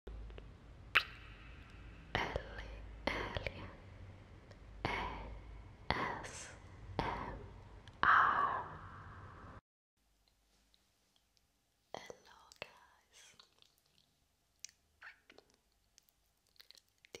Hello guys. This is Ellie Ellie and welcome to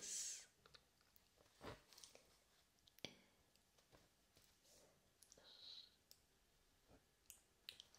S -S -E -T -A. Serenita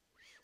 sensual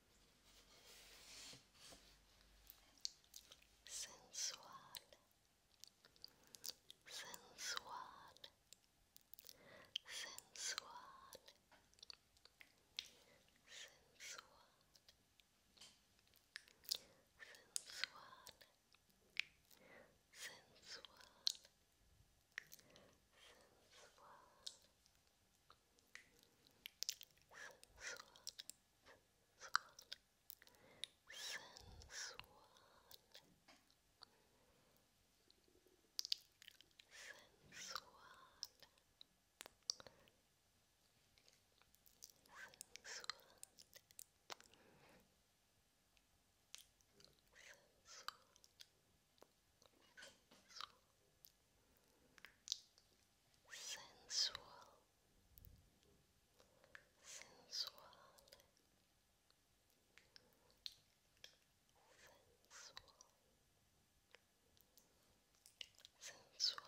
sensual, sensual, sensual, sensual. Sensual, sensual, sensual, sensual sensual, sensual, sensual, sensual.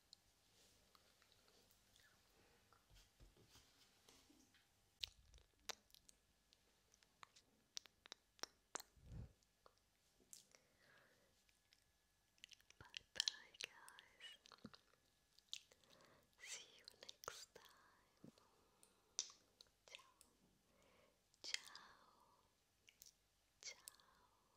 Bye bye, guys. See you next time. Ciao. Ciao. Ciao.